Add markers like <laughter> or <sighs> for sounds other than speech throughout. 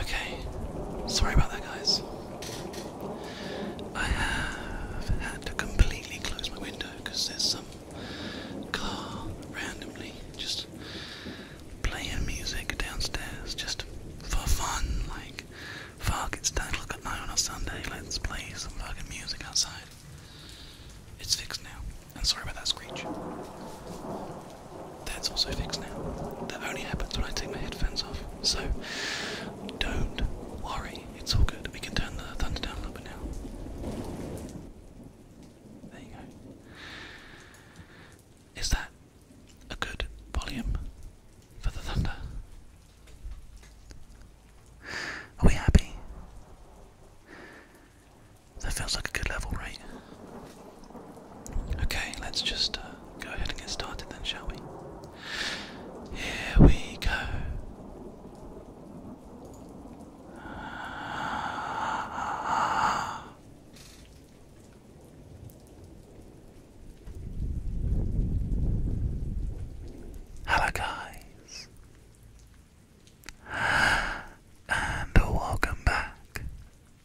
Okay, sorry about that, guys. I have had to completely close my window because there's some car randomly just playing music downstairs just for fun. Like, fuck, it's 10 o'clock at night on a Sunday, let's play some fucking music outside. It's fixed now. And sorry about that screech. That's also fixed now. That only happens when I take my headphones off. So don't worry, it's all good. We can turn the thunder down a little bit now. There you go. Is that a good volume for the thunder? Are we happy? That feels like a good level, right? Okay, let's just uh, go ahead and get started then, shall we? Here we go. Hello, and welcome back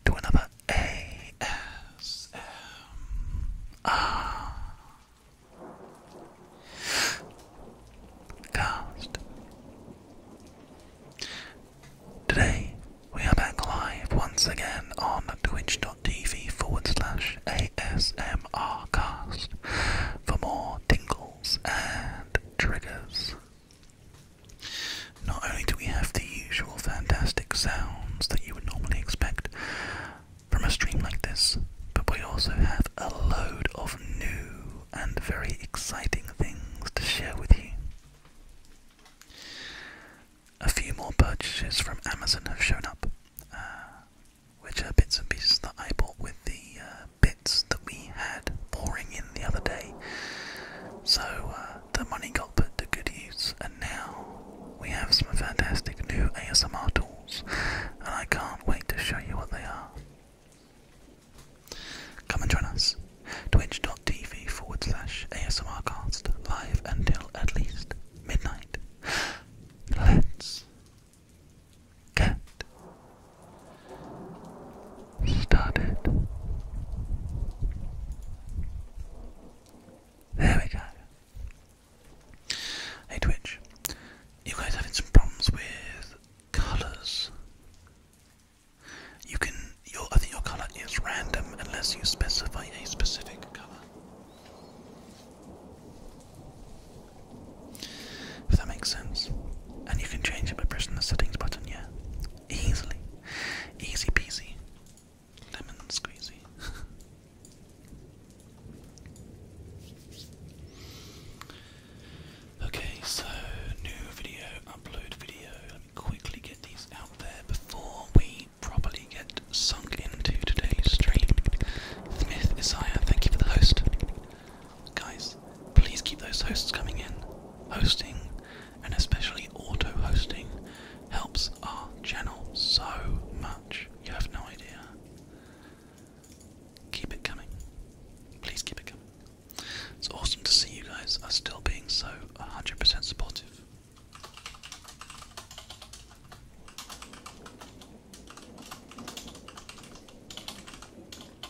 to another ASMR cast. Today we are back live once again on twitch.tv forward slash ASMR cast for more tingles and triggers. Not only do we have the usual fantastic sounds that you would normally expect from a stream like this, but we also have a load of new and very exciting things to share with you. A few more purchases from Amazon have shown up, uh, which are bits and pieces that I bought with the uh, bits that we had pouring in the other day. So uh, the money got put to good use, and now we have some fantastic new ASMR tools, and I can't wait to show you what they are. Come and join us. Twitch.tv forward slash ASMRcast live until at least midnight. Let's get started. There we go. Hey Twitch, you guys having some problems with colours? You can, your, I think your colour is random unless you specify a specific colour. If that makes sense. And you can change it by pressing the settings button, yeah? Easily. Easy peasy. Lemon squeezy. <laughs> okay, so new video, upload video. Let me quickly get these out there before we properly get sunk into today's stream. Smith, myth is Aya, thank you for the host. Guys, please keep those hosts coming in. Hosting and especially auto hosting helps our channel so much. You have no idea. Keep it coming. Please keep it coming. It's awesome to see you guys are still being so 100% supportive.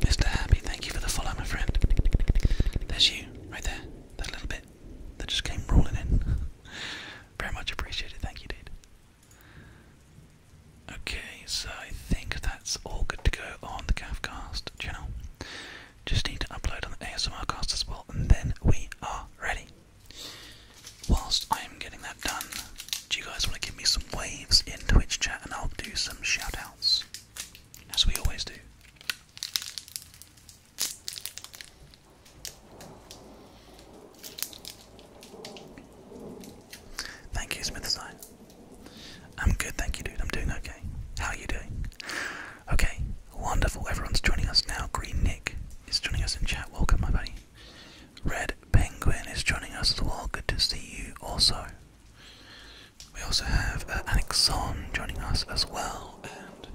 Mr. Happy, thank you for the follow, my friend. There's you, right there. That little bit that just came rolling in. <laughs> Very much appreciated. Thank you, dude. Okay, so I think that's all good to go on the Cavcast channel. Just need to upload on the ASMR as well, and then we are ready. Whilst I am getting that done, do you guys want to give me some waves in Twitch chat and I'll do some shoutouts, As we always do. Thank you, Smith I'm good, thank you, dude. I'm doing okay. How are you doing? Okay, wonderful. Everyone's joining us now. Green Nick is joining us in chat. Welcome, my buddy. Red Penguin is joining us as well. Good to see you also. We also have uh, Alexon joining us as well, and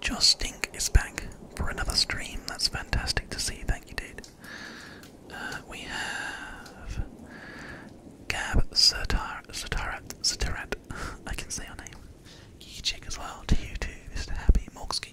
Justink is back for another stream. That's fantastic to see. Thank you, dude. Uh, we have Gab Satar, Satarat, Satarat. <laughs> I can say your name. Geeky Chick as well. To you too, Mr. Happy Morksky.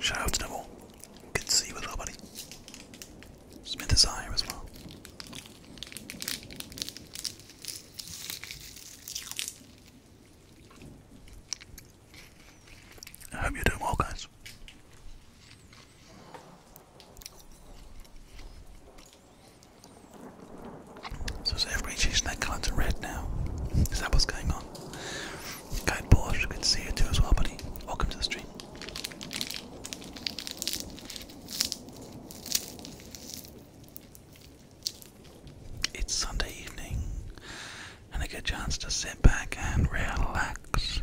Shout out to Neville. Good to see you with our buddy. Smith is here as well. I hope you're doing well, guys. So is everybody changing their red now? Is that what's going on? Guide Porsche, good to see you too as well, buddy. Welcome to the stream. It's Sunday evening and a good chance to sit back and relax.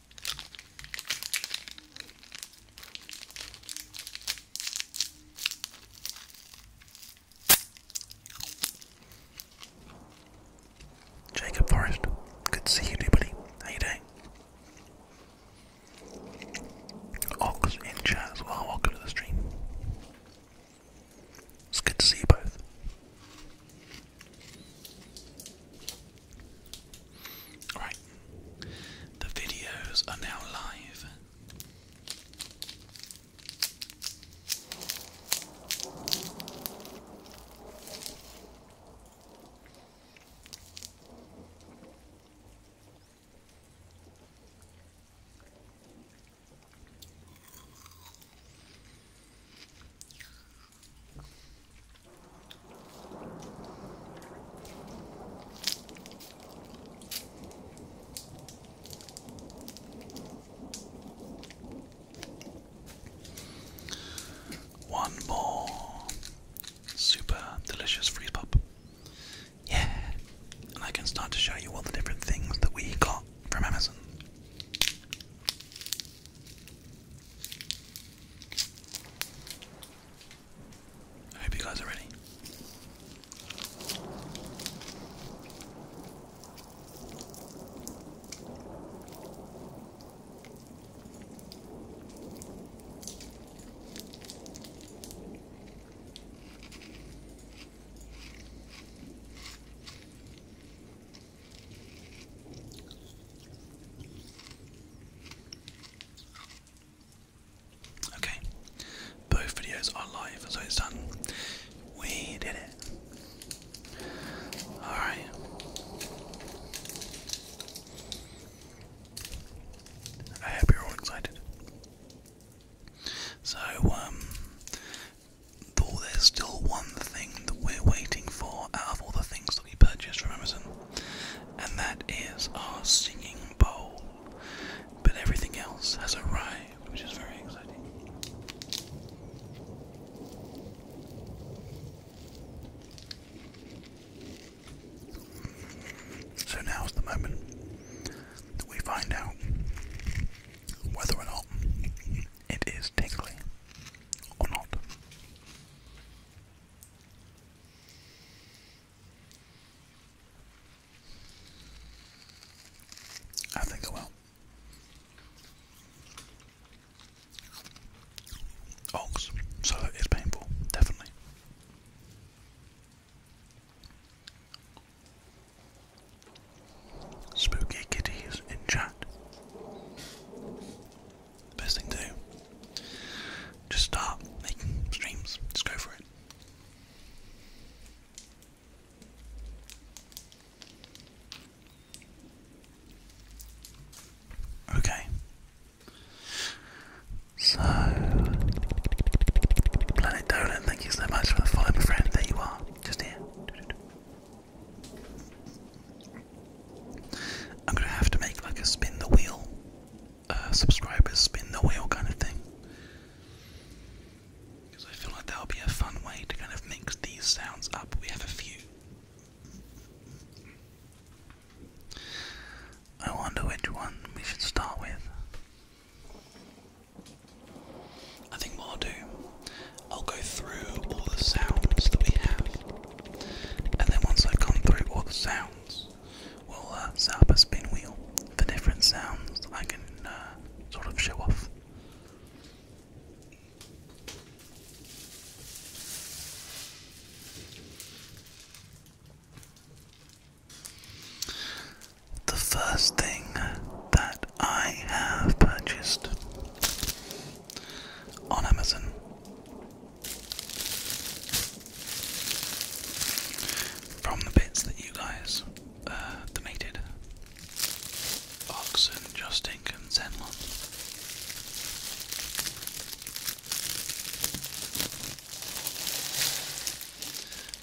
Jacob Forrest, good to see you, buddy. How you doing? Ox in chat Welcome to the stream. It's good to see you both. Right, the videos are now live. One more super delicious freeze pop. Yeah, and I can start to show you all the different things that we got from Amazon. I hope you guys are ready. Okay, both videos are live, so it's done. We did it. Alright. I hope you're all excited. So, um, though there's still one thing that we're waiting for out of all the things we purchased from Amazon, and that is our singing bowl. But everything else has arrived, which is very exciting. So now's the moment that we find out whether or not it is tingly or not. I think I will. Ox, so it's painful, definitely. Spooky kitties in chat. Best thing to do. Just start making streams. Just go for it. Okay. So, Planet Dolan, thank you so much for the follow, my friend. There you are, just here. I'm gonna have to make like a spin the wheel uh, subscribers spin the wheel kind of thing. Because I feel like that would be a fun way to kind of mix these sounds up. We have a few. I wonder which one we should start with. I think what I'll do, I'll go through all the sounds that we have, and then once I've gone through all the sounds, will set up a spin wheel for different sounds I can uh, sort of show off. The first thing that I have purchased on Amazon from the bits that you guys uh, donated, Oxen, Justink, and Zenlon.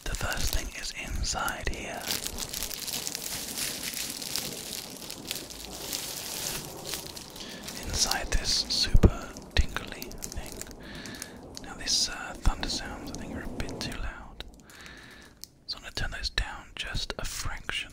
The first thing is inside here. Inside this super tingly thing. Now these uh, thunder sounds, I think, are a bit too loud, so I'm gonna turn those down just a fraction.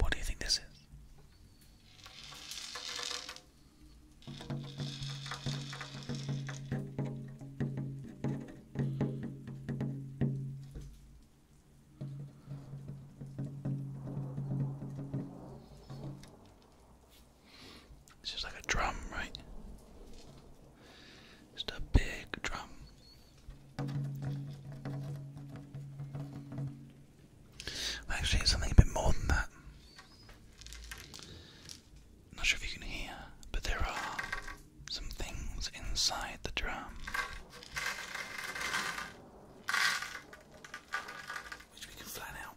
What do you think this is? It's just like a drum, right? Just a big drum. Actually, it's something a bit more than that. Not sure if you can hear, but there are some things inside the drum. Which we can flatten out.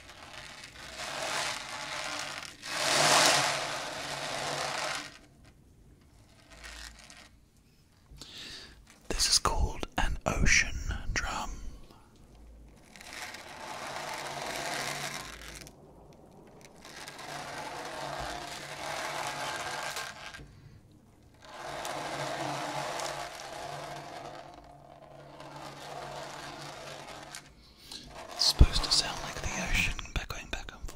This is called an ocean drum. It's supposed to sound like the ocean by going back and forth.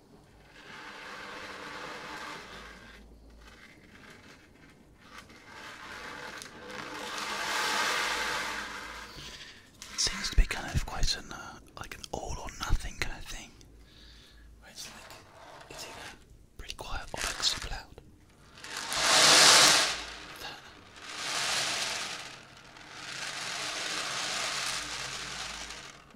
It seems to be kind of quite an uh, like an all or nothing kind of thing. Where it's like it's either pretty quiet or like super loud.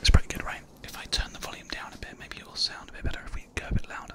It's pretty good, right? If I turn the volume down a bit, maybe it will sound a bit better if we go a bit louder.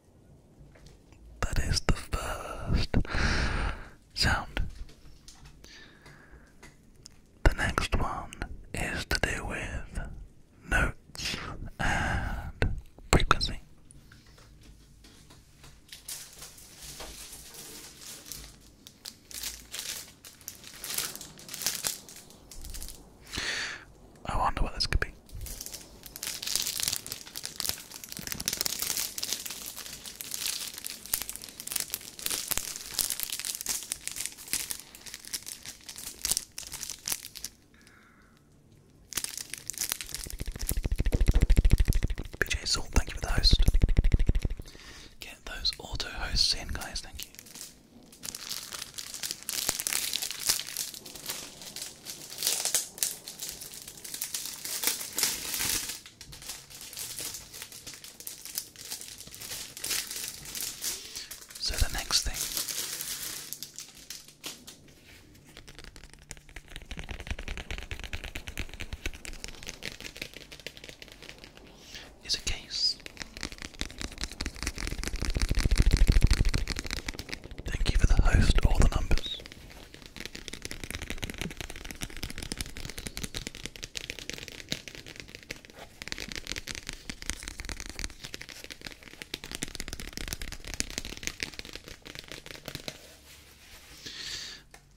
That is the first sound. The next one is to do with notes and frequency. I wonder what this could be. BJ Salt, thank you for the host. Get those auto hosts in, guys, thank you. So the next thing is a case. Thank you for the host, all the numbers.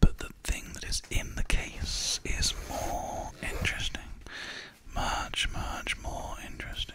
But the thing that is in the case is more interesting. Much, much more interesting.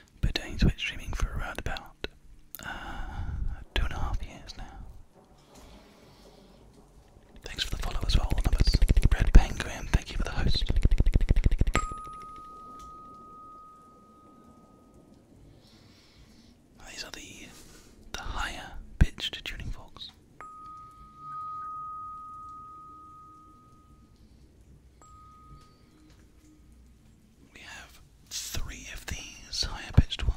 but doing Twitch streaming for around about uh, two and a half years now. Thanks for the follow as well, Red Penguin, thank you for the host. These are the the higher pitched tuning forks. We have three of these higher pitched ones.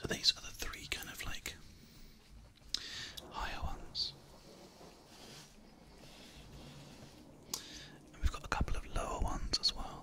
So these are the three kind of like higher ones. we've got a couple of lower ones as well.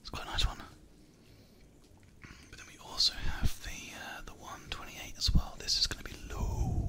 It's quite a nice one. But then we also have the uh, the 128 as well. This is going to be low.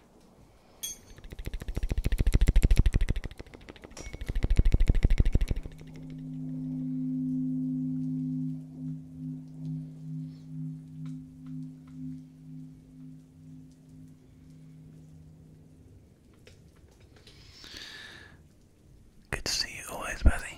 Good to see you always, Bethy.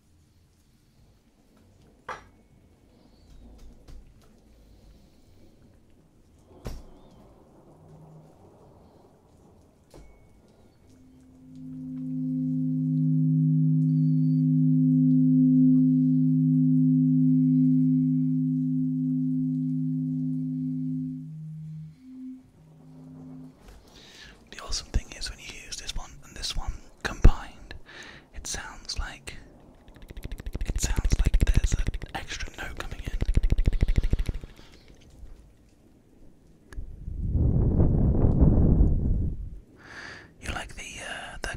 The awesome thing is when you use this one and this one combined, it sounds like it sounds like there's an extra note coming in. You like the uh, the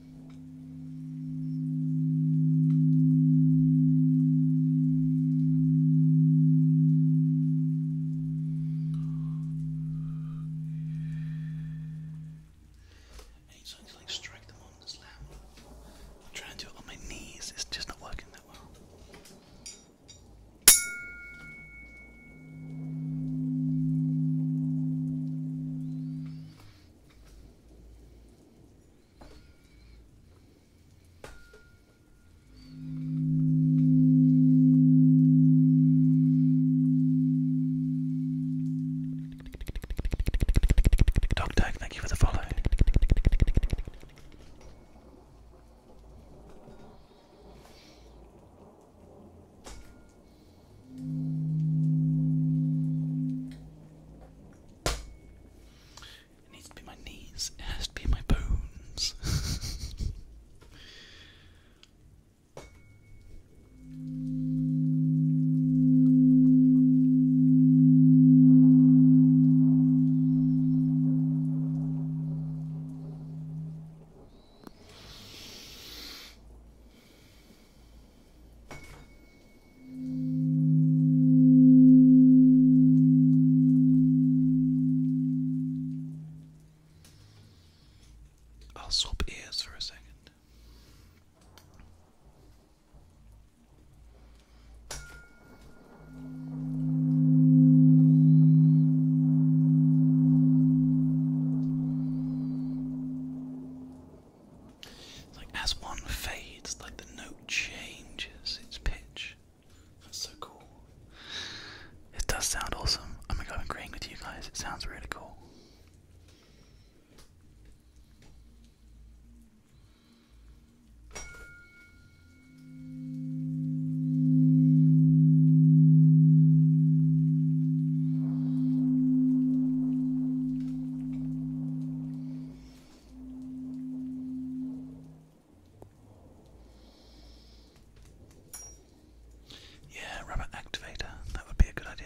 Anytime you like strike them on this lamp. I'm trying to do it on my knees, it's just not working that well. Dog Tag, thank you for the follow. It needs to be my knees, it has to be my bones. I'll swap ears for a second like as one fades, like the note changes its pitch. That's so cool. It does sound awesome. Oh my god, I'm agreeing with you guys. It sounds really cool. Yeah, rubber activator, that would be a good idea.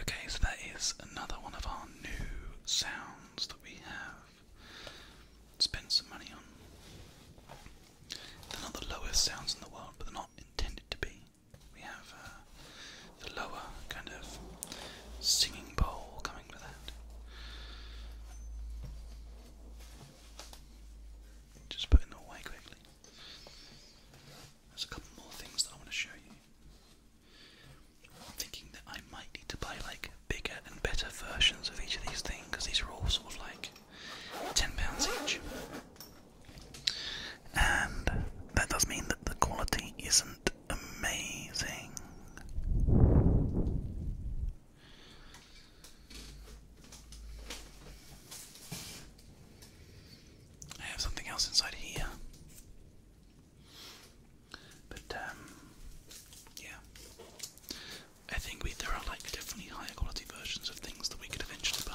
Okay, so that is another one of our new sounds that we have spent some money on. They're not the lowest sounds in the world, but they're not intended to be. We have uh, the lower kind of singing bowl coming with that. Just put it away quickly. There's a couple more things that I want to show you. I'm thinking that I might need to buy like bigger and better versions of each of these things because these are all sort of like ten pounds each, and that does mean that the quality isn't amazing. I have something else inside here. But um, yeah, I think there are like definitely higher quality versions of things that we could eventually buy.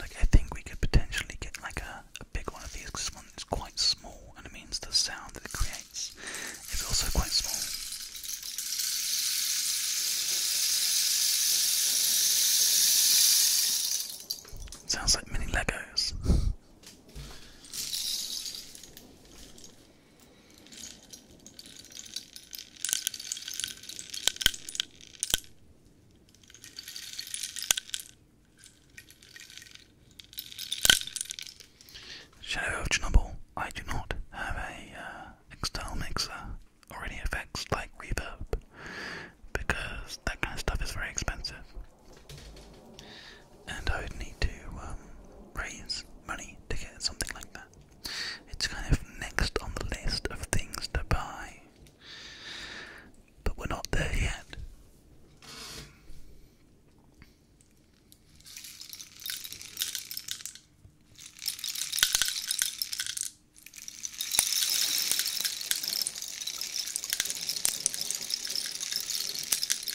Like I think we could potentially get like a, big one of these this one is quite small and it means the sound that it creates is also quite small. Sounds like mini Legos. <laughs> Shadow of I do not have a uh, external mixer or any effects like reverb because that kind of stuff is very expensive and I would need to um, raise money to get something like that. It's kind of next on the list of things to buy, but we're not there yet.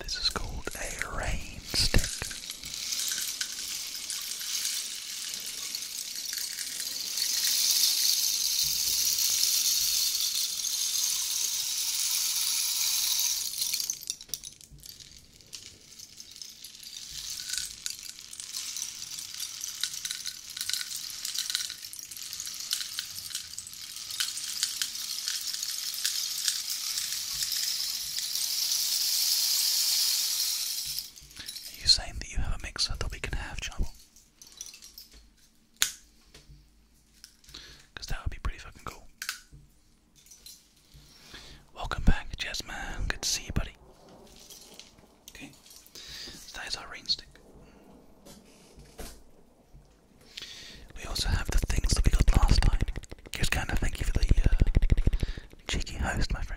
This is called a rain stick. Are you saying that you have a mixer that we can have, Channel? that would be pretty fucking cool. Welcome back, Jasmine. Good to see you, buddy. Okay, that is our rainstick. We also have the things that we got last time. Just kind of thank you for the uh, cheeky host, my friend.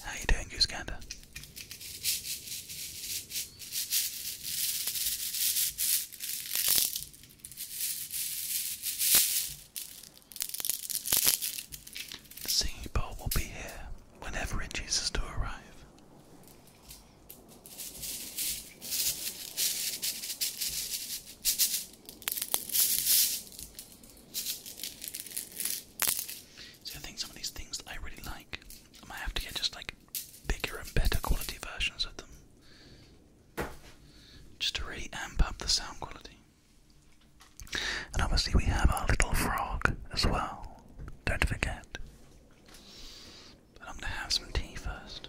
How you doing, Goose The singing bowl will be here whenever it chooses to arrive. See, I think some of these things I really like, I have to get just like bigger and better quality versions of them, just to really amp up the sound quality. And obviously, we have our little frog as well, don't forget. But I'm gonna have some tea first.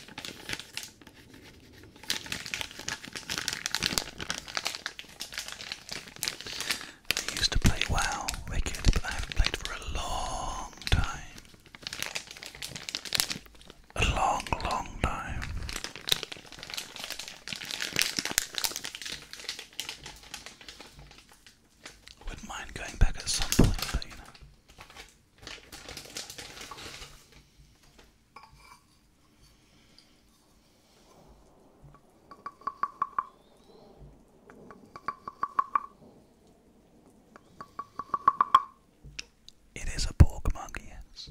I used to play WoW regularly, but I haven't played for a long time. A long, long time. Wouldn't mind going back at some point, you know. It is a pork monkey. yes.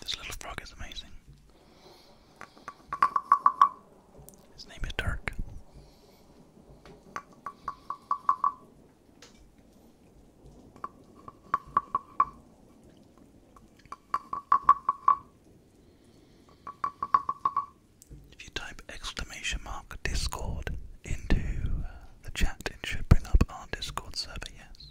This little frog is amazing. His name is Dirk. If you type exclamation mark Discord into uh, the chat, it should bring up our Discord server, yes.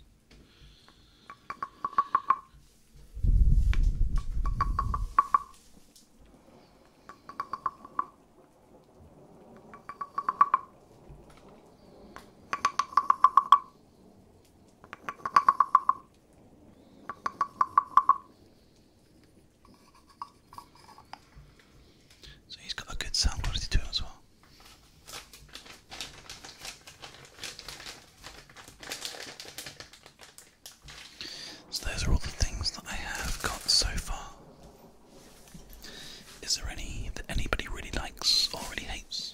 So he's got a good sound quality to him as well. So those are all the things that I have got so far. Is there any that anybody really likes or really hates?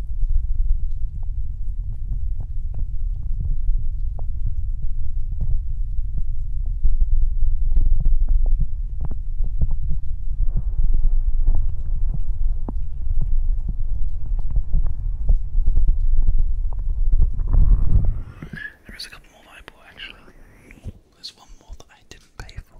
There is a couple more that I bought actually. There's one more that I didn't pay for.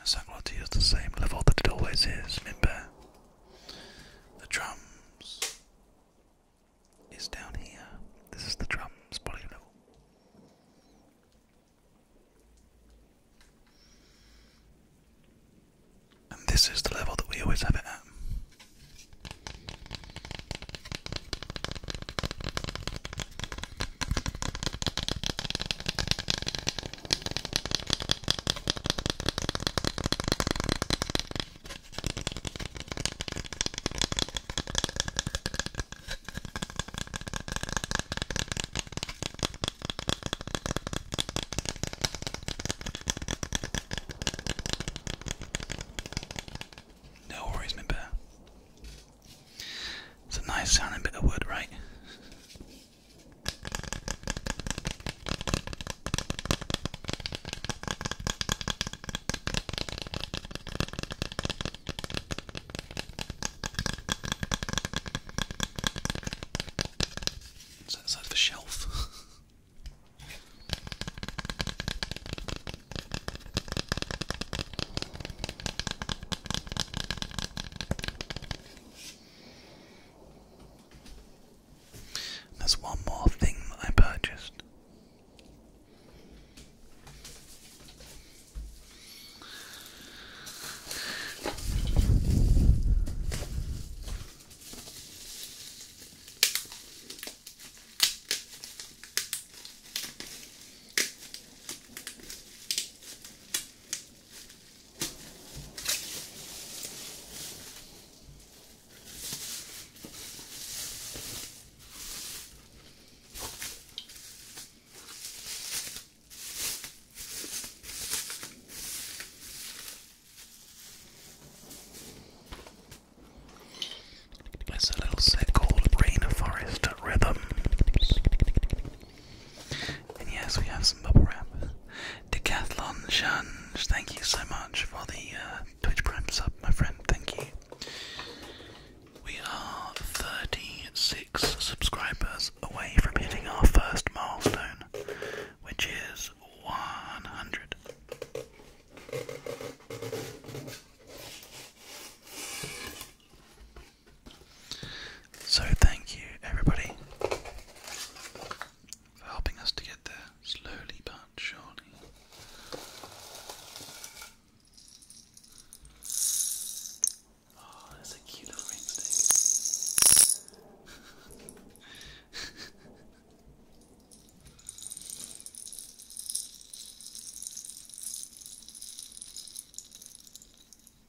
It's not going to use the same level that it always is, remember? The drums is down here. This is the drums body level. And this is the level that we always have it at. No worries, my bear. It's a nice sounding bit of wood, right? It's outside of shelf. There's one more thing that I purchased. It's a little set called Rain Forest Rhythms. And yes, we have some bubble wrap. Decathlon Shunge, thank you so much for the uh, Twitch Prime sub, my friend. Thank you. We are 36 subscribers away from hitting our first milestone, which is 100. So, thank you everybody for helping us to get there slowly but surely. Oh, that's a cute ring stick. <laughs>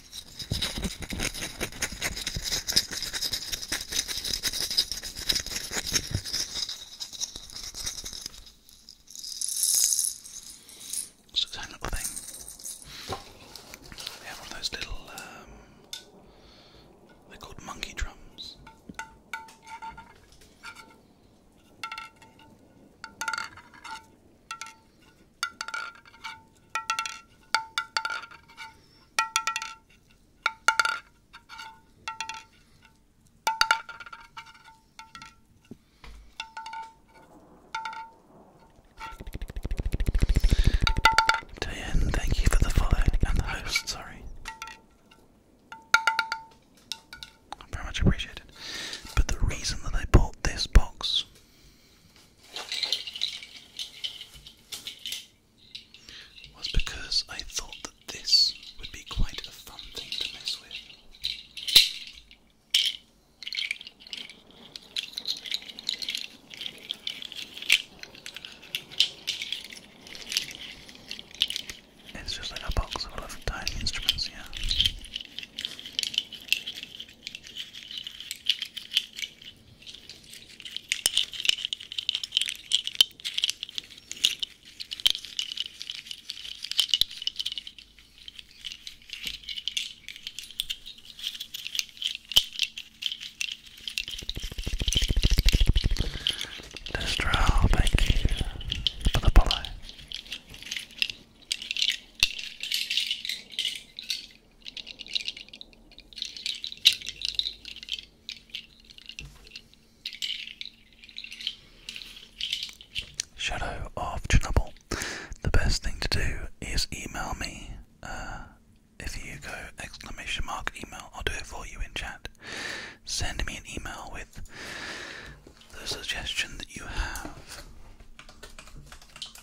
So it's that little thing. They have one of those little, um, they're called monkey drums. Diane, thank you for the follow and the host, sorry. very much appreciate But the reason that I bought this box was because I thought that this would be quite a fun thing to mess with. It's just like a box full of tiny instruments, yeah. Destro, thank you the follow. Shadow of Chernobyl. The best thing to do is email me. Uh, if you go exclamation mark email, I'll do it for you in chat. Send me an email with the suggestion that you have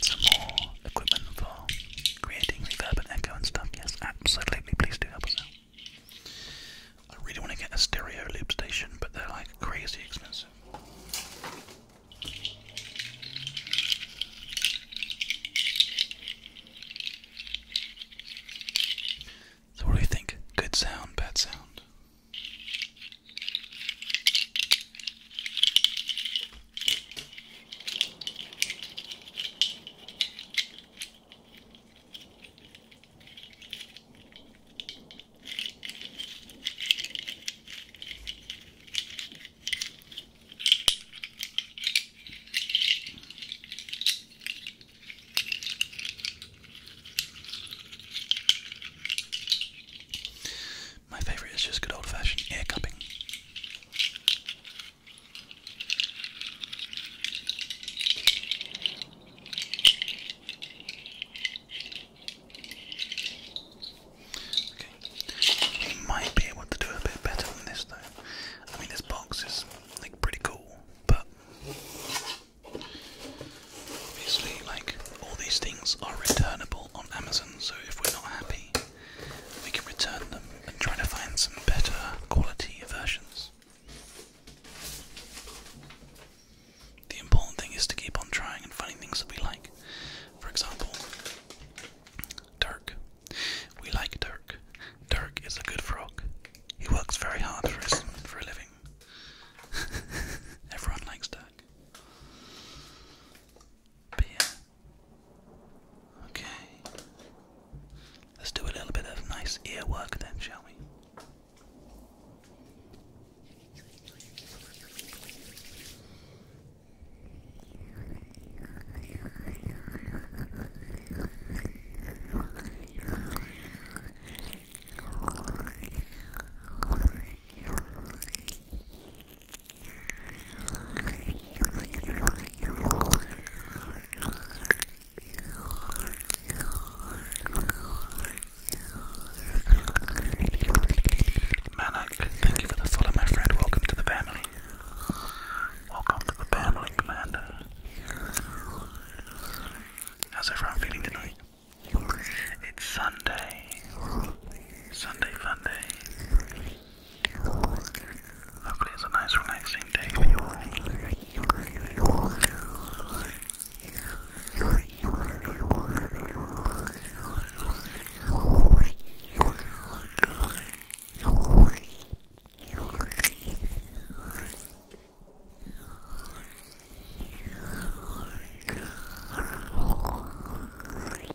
some more equipment for creating reverb and echo and stuff, yes, absolutely, please do help us out. I really want to get a stereo loop station, but they're like crazy expensive. So, what do you think? Good sound, bad sound? My favourite is just good old fashioned ear cupping. Okay, we might be able to do a bit better than this though. I mean, this box is like pretty cool, but obviously, like all these things are returnable on Amazon. So if we're not happy, we can return them and try to find some better quality versions. The important thing is to keep on trying and finding things that we like. For example, Dirk. We like Dirk. Dirk is a good frog. He works very hard for his for a living. <laughs> Everyone likes Dirk. But Okay. Let's do a little bit of nice ear work then, shall we? Manak, thank you for the follow, my friend. Welcome to the family. Welcome to the family, Commander. How's everyone feeling tonight? It's Sunday. Sunday, fun day. Hopefully it's a nice relaxing day for you all.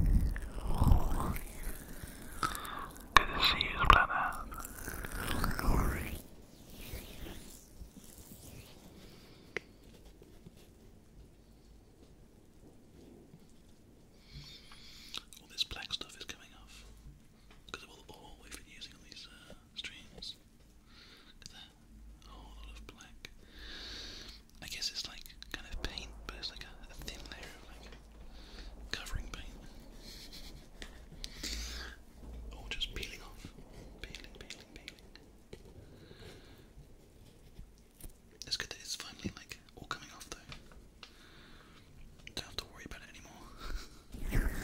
Good to see you, Splatter. All this black stuff is coming off because of all we've been using on these uh, streams. Look at that, a whole lot of black. I guess it's like kind of paint, but it's like a, thin layer of like covering paint. Or just peeling off. Peeling, peeling, peeling. It's good that it's finally like all coming off though. Don't have to worry about it anymore. <laughs>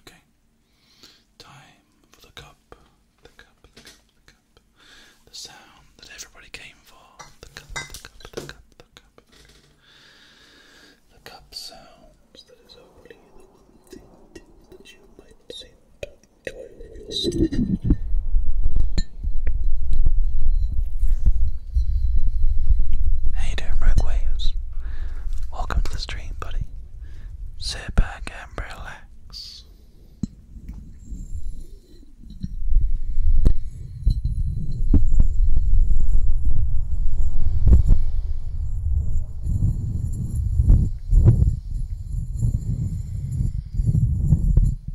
Okay. Time for the cup. The cup, the cup, the cup. The sound that everybody came for. The cup, the cup, the cup, the cup. The cup sounds that is only the one thing that you might seem to enjoy. Hey there, Rogue Waves. Welcome to the stream, buddy. Sit back and relax.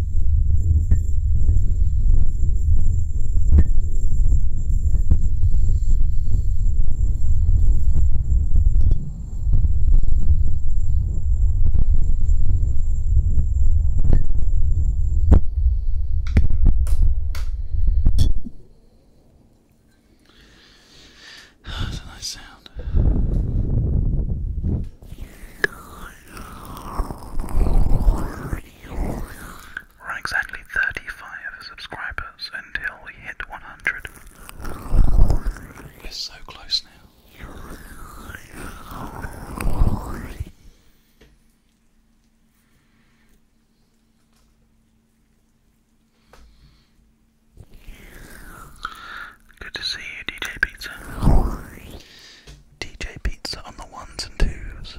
<sighs> That's a nice sound. We're exactly 35 subscribers until we hit 100. We're so close now. Good to see you, DJ Pizza. DJ Pizza on the ones and twos.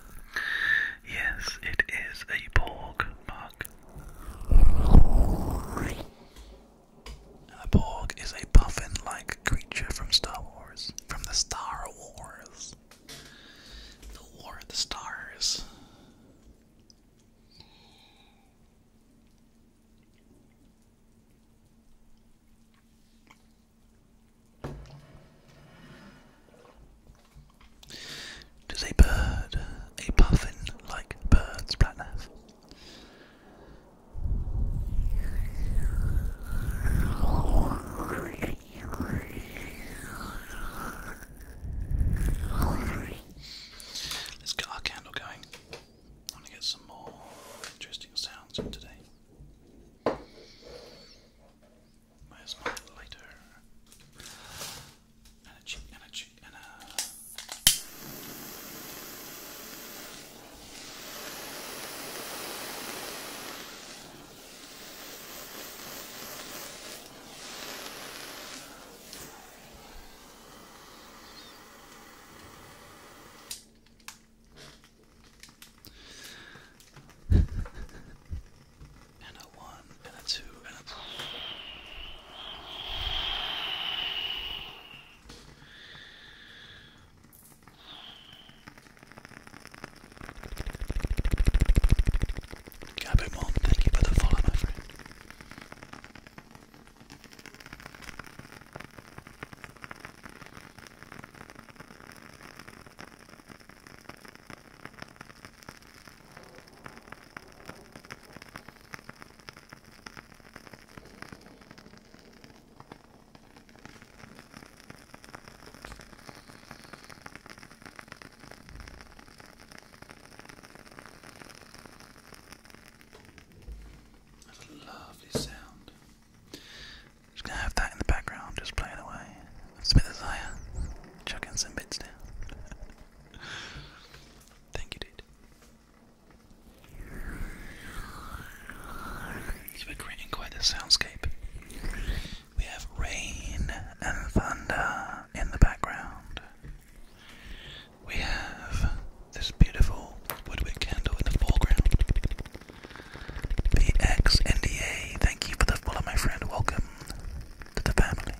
Yes, it is a porg, mug. A porg is a puffin like creature from Star Wars, from the Star Wars. The War of the Stars. Does a bird, a puffin like birds, Platnav? Let's get our candle going. I want to get some more interesting sounds today. Where's my lighter? And a cheek, and a cheek, and a. <laughs> and a one, and a two, and a Gabby Mom, thank you for the follow, my friend. That's a lovely sound. Just gonna have that in the background, just playing away. It's a chucking some bits down. Thank you, dude. You're creating quite a soundscape. We have rain and thunder in the background. We have this beautiful woodwick candle in the foreground. The XNDA, thank you for the follow, my friend. Welcome to the family.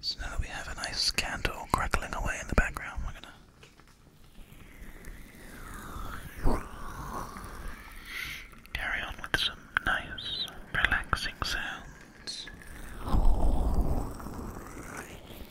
So now that we have a nice candle crackling away in the background, we're gonna Carry on with some nice, relaxing sounds.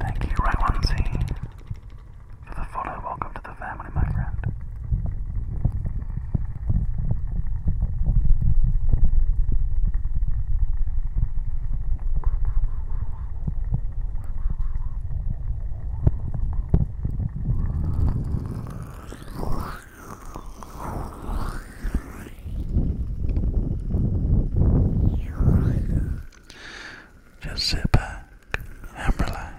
Thank you, Raywanzi, for the follow. Welcome to the family, my friend. Just sit back and relax.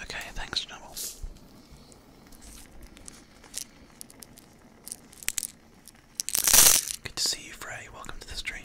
Okay, thanks, Noel. Good to see you, Frey. Welcome to the stream.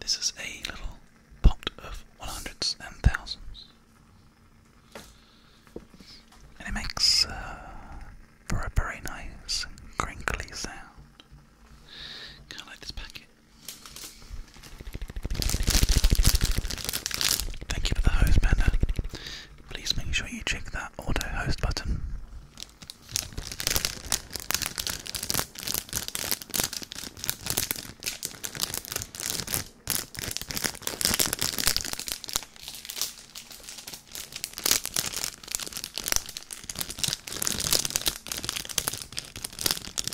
This is a little pot of one hundreds and thousands, and it makes uh, for a very nice crinkly sound, kind of like this packet. Thank you for the host, Panda. Please make sure you check that auto host button.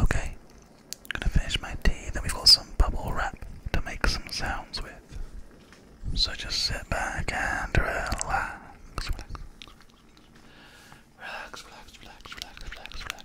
Okay, gonna finish my tea, then we've got some bubble wrap to make some sounds with. So just sit back and relax. Relax, relax, relax, relax, relax, relax.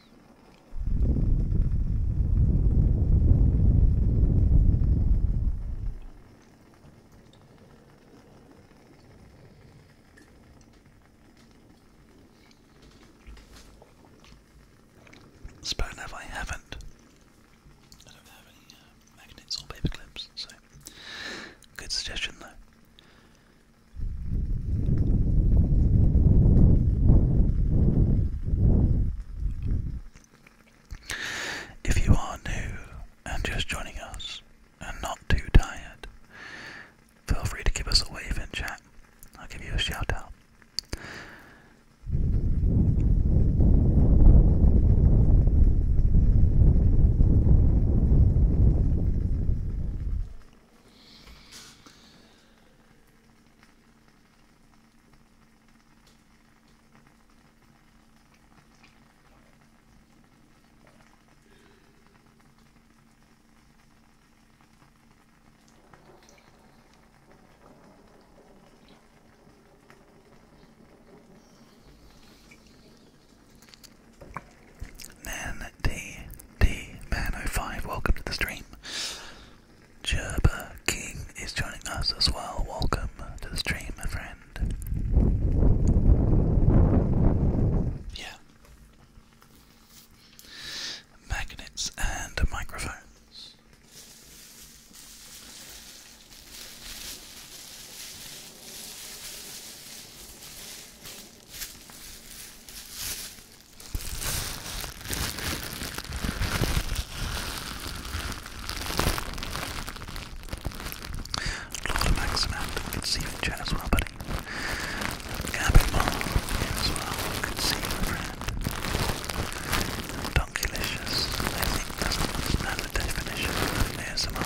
Spoon if I haven't. I don't have any uh, magnets or paper so good suggestion though. If you are new and just joining us and not too tired, feel free to give us a wave in chat. I'll give you a shout out. Then they DMan05, welcome to the stream. Gerber King is joining us as well. Welcome to the stream, my friend. Yeah. Magnets and microphones. Lord Max and can see you in chat as well, buddy. Gabby Mall as well, good see you, friend. Donkeylicious, I think doesn't understand the definition of ASMR.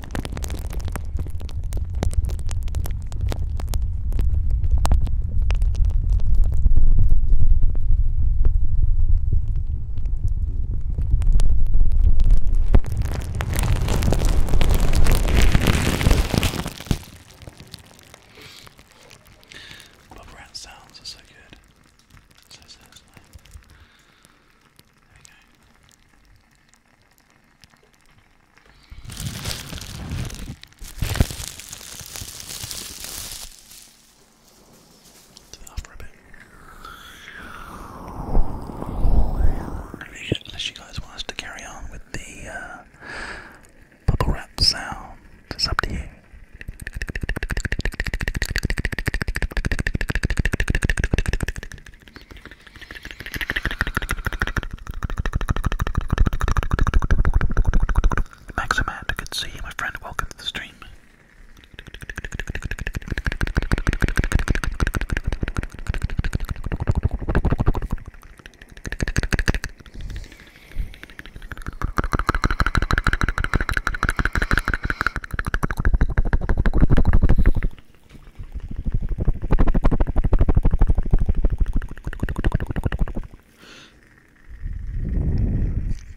Bubble wrap sounds are so good. So seriously. There we go. Do Unless you guys want us to carry on with the uh, bubble wrap sound, it's up to you. Maximand, good to see you, my friend. Welcome to the stream.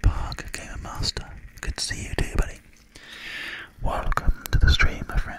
Parker Gamer Master, good to see you too, buddy. Welcome to the stream, my friend.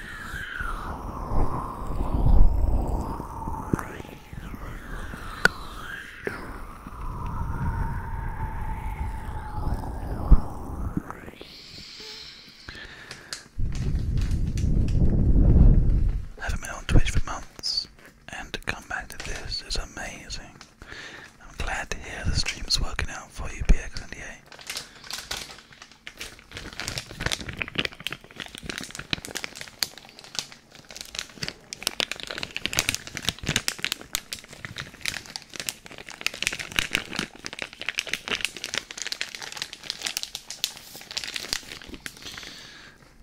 I Haven't been on Twitch for months, and to come back to this is amazing. I'm glad to hear the stream is working out for you, PX98.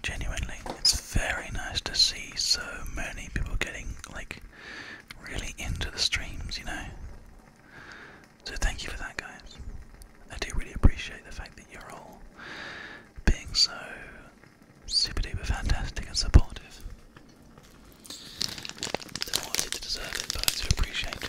Genuinely, it's very nice to see so many people getting like really into the streams, you know. So thank you for that, guys. I do really appreciate the fact that you're all being so super duper fantastic and supportive. I do to deserve it, but I appreciate it.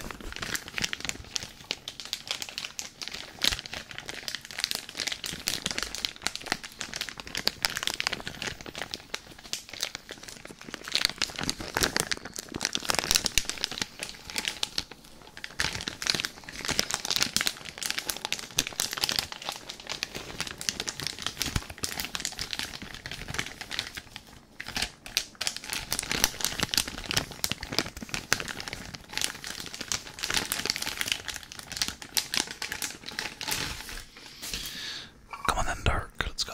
Come on then, Dark, let's go.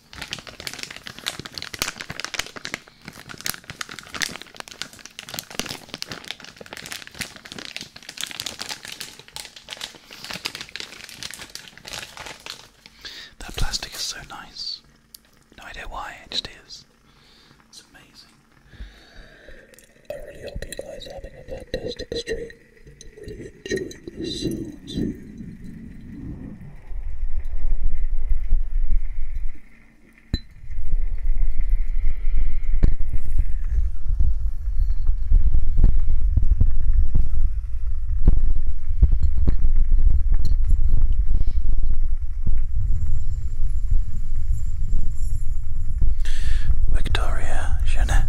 That plastic is so nice. No idea why, it just is. It's amazing. I really hope you guys are having a fantastic stream. Really enjoying this sounds. Victoria Jeanette,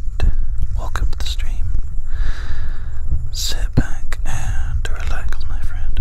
welcome to the stream. Sid sit back and relax, my friend.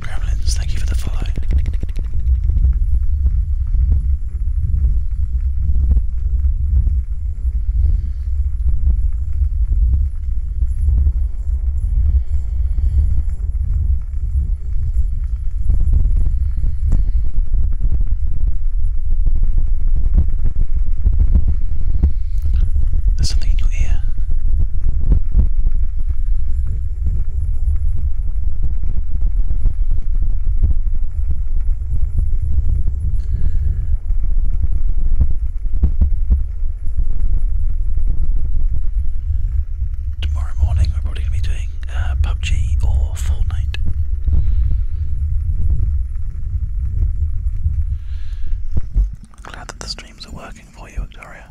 Gremlins, thank you for the follow. There's something in your ear tomorrow morning we're probably going to be doing uh, PUBG or Fortnite. Glad that the streams are working for you, Victoria.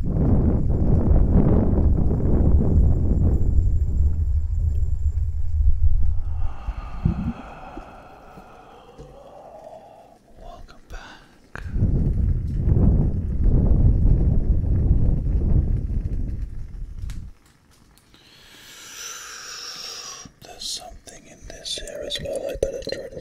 Welcome back. There's something in this here as well. I better try to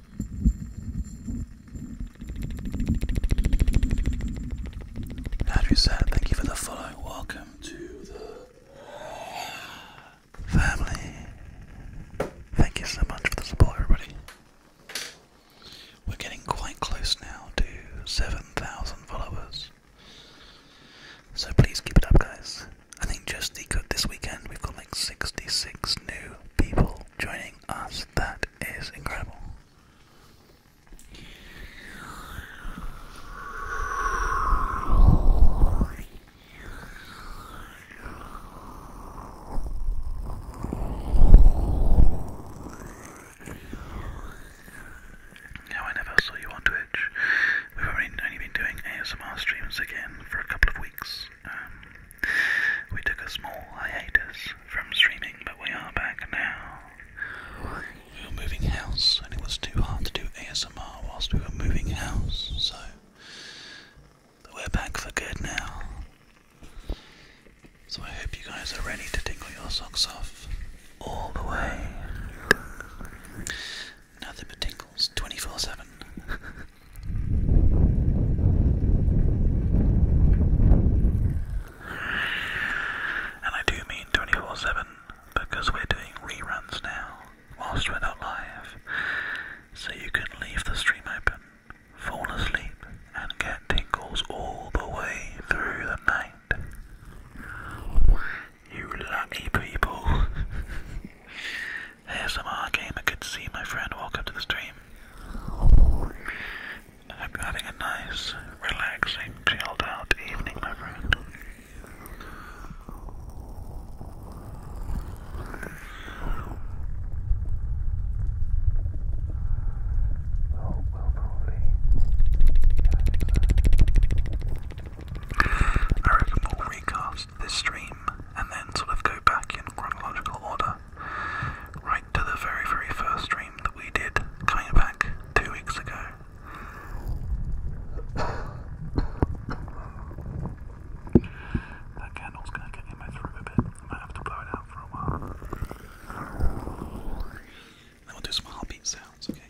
Nadri said, thank you for the following. Welcome to the family. Thank you so much for the support, everybody. We're getting quite close now to 7,000 followers. So please keep it up, guys. I think just the good this weekend we've got 66 new people joining us. That is incredible. Now, I never saw you on Twitch. We've only been doing ASMR streams again for a couple of weeks. Um, we took a small hiatus from streaming, but we are back now. We were moving house, and it was too hard to do ASMR whilst we were moving house, so we're back for good now. So I hope you guys are ready to tingle your socks off all the way. Nothing but Knuckles 24 7. and I do mean 24 7 because we're doing reruns now whilst we're not live. So you can leave the stream open, fall asleep, and get tingles all the way through the night. You lucky people. <laughs> Hey, ASMR Gamer, good to see my friend. Welcome to the stream. I hope you're having a nice, relaxing, chilled out evening, my friend. I will recast this stream and then sort of go back in chronological order, right to the very, very first dream that we did coming back two weeks ago. That candle's gonna get in my throat a bit. I might have to blow it out for a while. Then we'll do some heartbeat sounds, okay?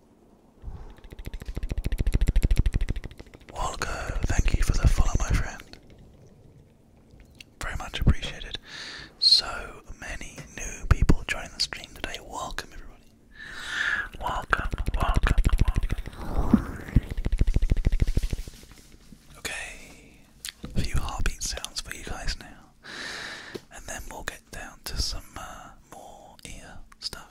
Walgo, thank you for the follow, my friend. Very much appreciated. So many new people joining the stream today. Welcome, everybody. Welcome, welcome, welcome. Okay, a few heartbeat sounds for you guys now, and then we'll go down to some uh, more ear stuff.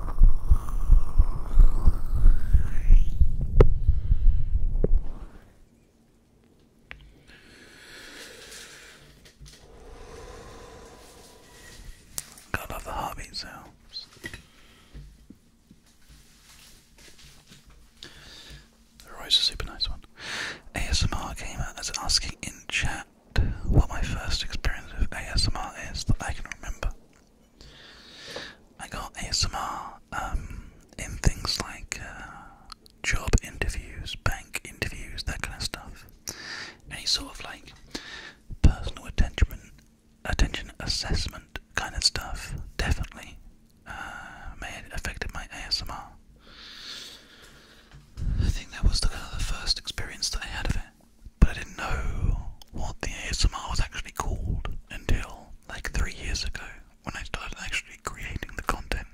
God love the heartbeat sounds. The Roy's a super nice one. ASMR gamer is asking in chat what my first experience with ASMR is that I can remember. I got ASMR um, in things like uh, job interviews, bank interviews, that kind of stuff. Any sort of like personal attention, attention assessment kind of stuff definitely uh, affected my ASMR. I think that was the, kind of the first experience that I had of it. But I didn't know what the ASMR was actually called until like three years ago when I started actually creating the content.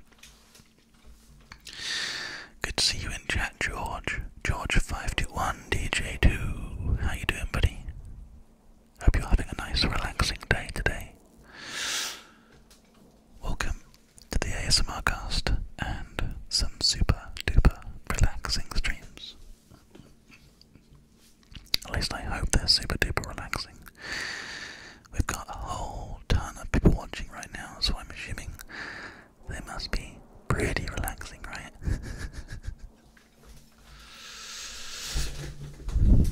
Good to see you in chat, George. George521, DJ2. How you doing, buddy? Hope you're having a nice, relaxing day today. Welcome to the ASMR cast, some super duper relaxing streams. At least I hope they're super duper relaxing. We've got a whole ton of people watching right now, so I'm assuming they must be pretty relaxing, right? <laughs>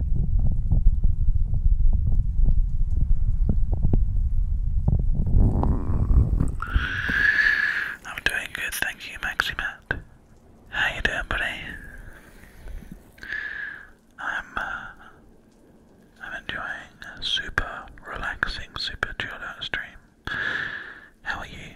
I'm doing good, thank you, Maximat. How you doing, buddy? I'm, uh, I'm enjoying a super relaxing, super chilled out stream. How are you?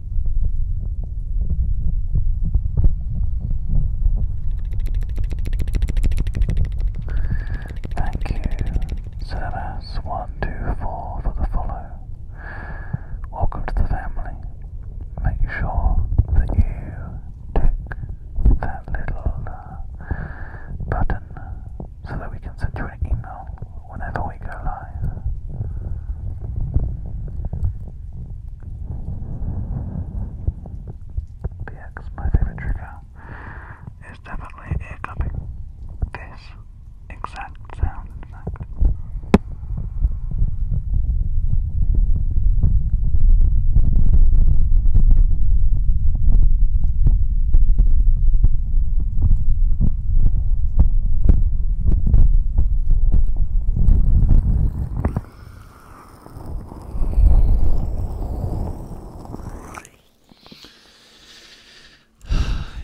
Thank you, Samus124 for the follow. Welcome to the family. Make sure that you tick that little uh, button so that we can send you an email whenever how we go live. BX, my favorite trigger, is definitely ear cupping. This exact sound, in fact. <sighs>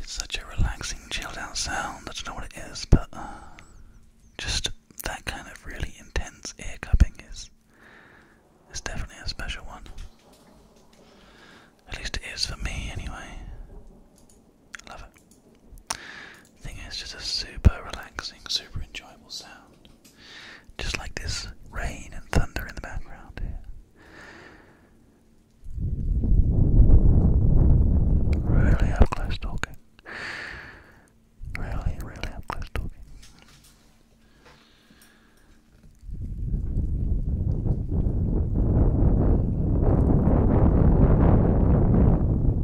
It's such a relaxing, chilled out sound. I don't know what it is, but uh, just that kind of really intense ear cupping is, is definitely a special one. At least it is for me, anyway. I love it. I think just a super relaxing, super enjoyable sound. Just like this rain and thunder in the background Really up close talking. Really, really up close talking.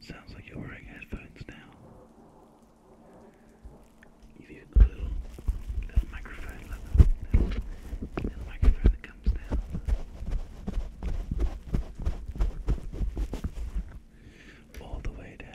Sounds like you're wearing headphones now. You've even got a little, little microphone, little, little, little microphone that comes down. All the way down.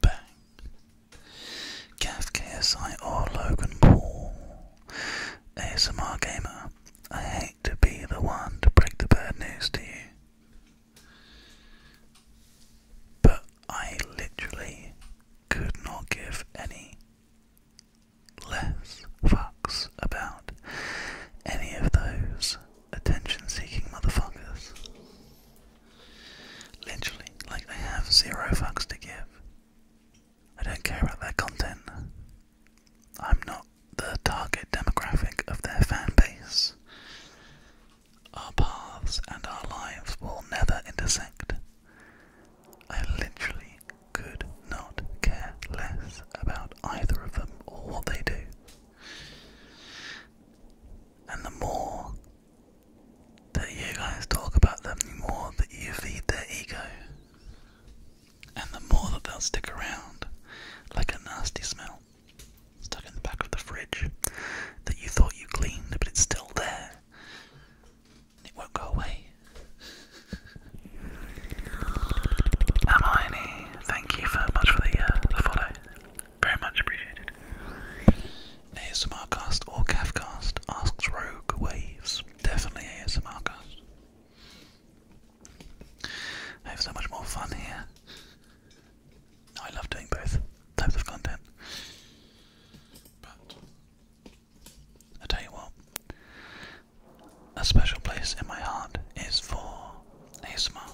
Bang. KSI or Logan Paul. ASMR Gamer, I hate to be the one to break the bad news to you. But I literally could not give any less fucks about any of those attention seeking motherfuckers. Literally, like they have zero fucks to give. I don't care about their content. I'm not the target demographic of their fan base. Our paths and our lives will never intersect. I literally could not care less about either of them or what they do. And the more that you guys talk about them, the more that you feed their ego. And the more that they'll stick around like a nasty smell stuck in the back of the fridge that you thought you cleaned, but it's still there. It won't go away. thank you very much for uh, the, follow. Very much appreciated. ASMRcast or CAFcast asks Rogue Waves. Definitely ASMRcast. I have so much more fun here. I love doing both types of content. But I tell you what, a special place in my heart is for ASMR.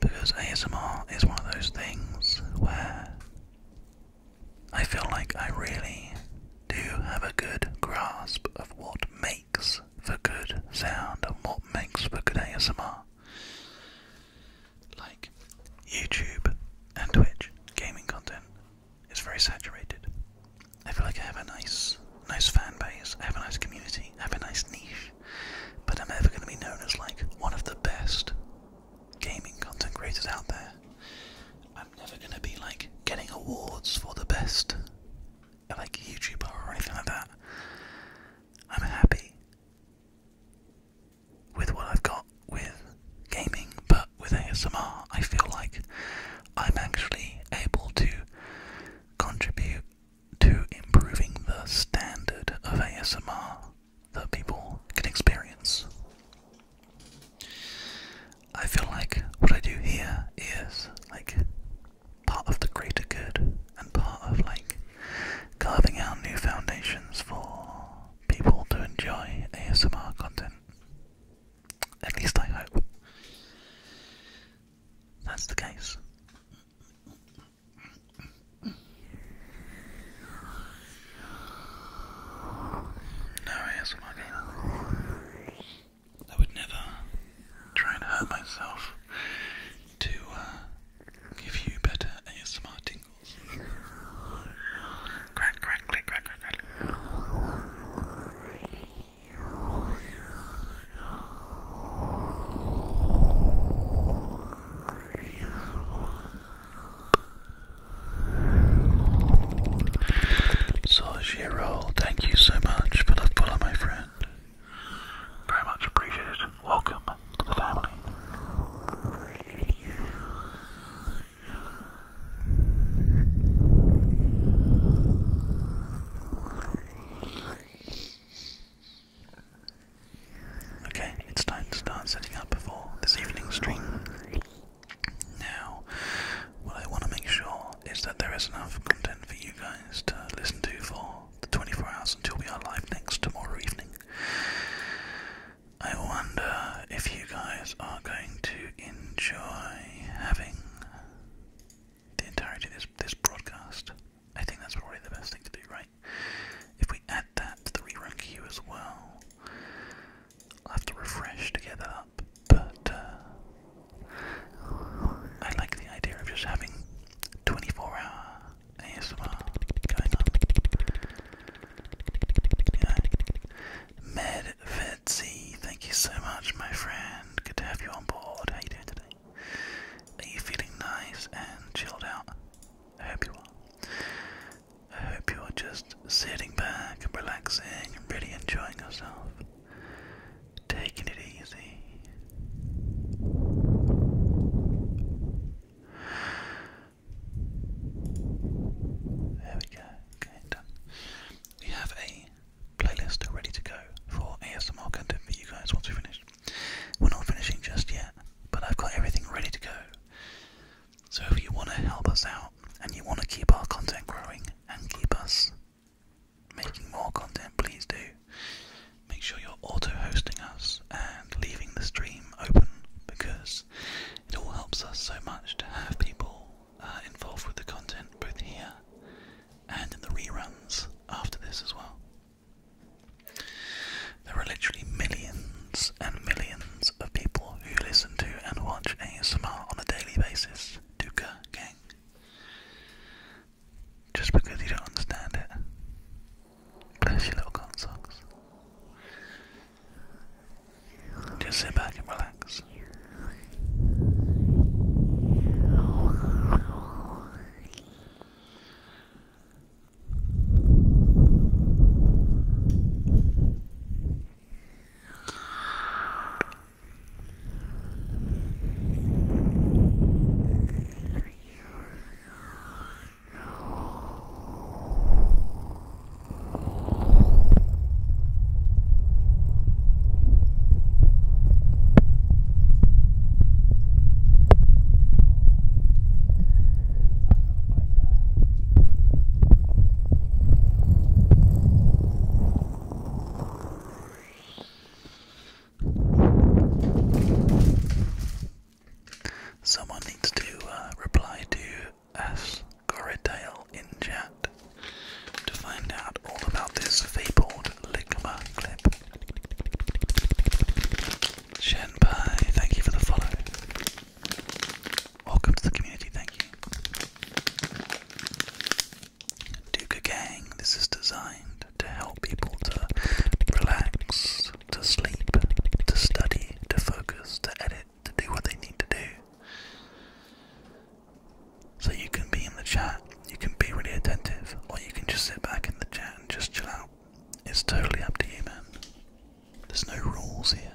Because ASMR is one of those things where I feel like I really do have a good grasp of what makes for good sound and what makes for good ASMR. Like YouTube and Twitch gaming content it's very saturated. I feel like I have a nice, nice fan base. I have a nice community. I have a nice niche. But I'm never going to be known as like one of the best gaming content creators out there. I'm never going to be like getting awards for the best, like YouTuber or anything like that. I'm happy with what I've got with gaming, but with ASMR, I feel like I'm actually able to contribute to improving the standard of ASMR that people can experience. I feel like what I do here is like part of the greater good and part of like carving out new foundations for people to enjoy ASMR content. At least I hope that's the case. No ASMR I would never try and hurt myself to uh, give you better ASMR tingles. Crack, crack, thank you so much for the follow, my friend. Very much appreciated. Welcome to the family. Okay, it's time to start setting up for this evening's stream. Now, what I want to make sure is that there is enough content for you guys to listen to for the 24 hours until we are live next tomorrow evening. I wonder if you guys are going to enjoy having the entirety of this, this broadcast. I think that's probably the best thing to do, right? If we add that to the rerun queue as well, I'll have to refresh to get that up, but uh, I like the idea of just having 24 hour ASMR going on. Medvedzi, thank you so much, my friend. Good to have you on board. How you doing today? Are you feeling nice and chilled out? I hope you are. I hope you are just sitting back and relaxing and really enjoying yourself. Taking it easy. There we go. Okay, done. We have a playlist ready to go for ASMR content for you guys once we finish. We're not finishing just yet, but I've got everything ready to go. So if you want to help us out and you want to keep our content growing and keep us making more content, please do. Make sure you're auto hosting us and leaving the stream open because it all helps us so much to have people uh, involved with the content, both here and in the reruns after this as well. There are literally millions and millions of people who listen to and watch ASMR on a daily basis. Duka gang. Just because you don't understand it. Bless your little consocks. Just sit back and relax. Someone needs to uh, reply to as Corridale in chat to find out all about this fabled Ligma clip. Shenpai, thank you for the follow. Welcome to the community, thank you. Duka Gang, this is designed to help people to relax, to sleep, to study, to focus, to edit to do what they need to do. So you can be in the chat, you can be really attentive, or you can just sit back in the chat and just chill out. It's totally up to you, man. There's no rules here.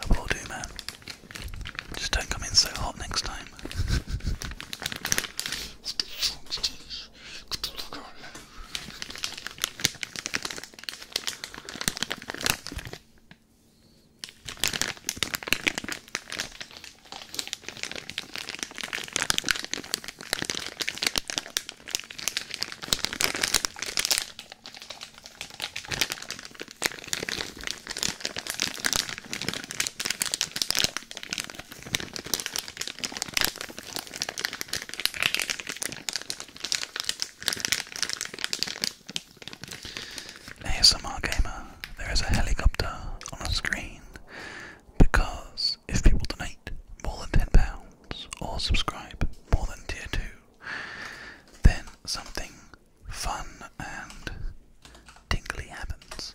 I will do, man. Just don't come in so hot next time. ASMR Gamer, there is a helicopter on the screen because if people donate more than ten pounds or subscribe more than tier two. Then something fun and tingly happens.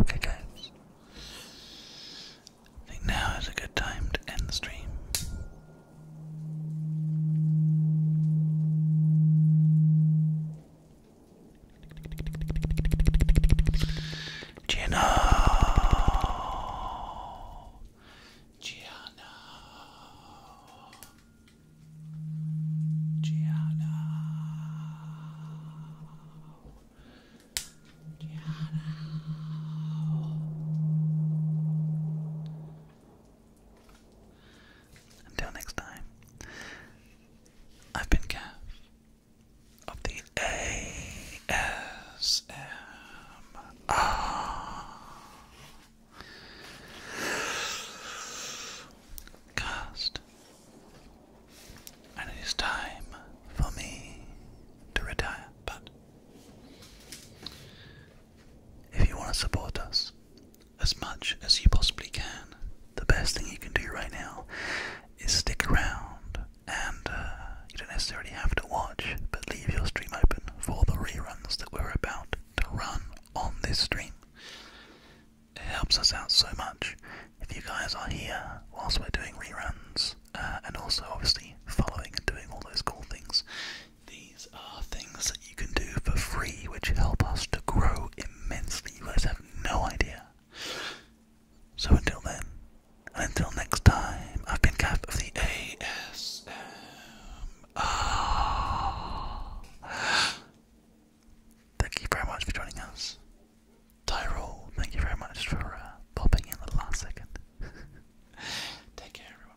Okay, guys. I think now is a good time to end the stream. Gino. Gianna. Gianna. Gianna. Until next time, I've been Gav of the ASMR cast, and it is time for me to retire, but if you want to support us as much as you possibly can, the best thing you can do right now is stick around and uh, you don't necessarily have to watch, but leave your stream open for the reruns that we're about to run on this stream. It helps us out so much if you guys are here whilst we're doing reruns uh, and also obviously following and doing all those cool things these are things that you can do for free which help us to grow immensely. You guys have no idea. So until then, and until next time, I've been Cap of the ASMR. Thank you very much for joining us. Tyrol, thank you very much for uh, popping in at the last second. <laughs> Take care, everyone.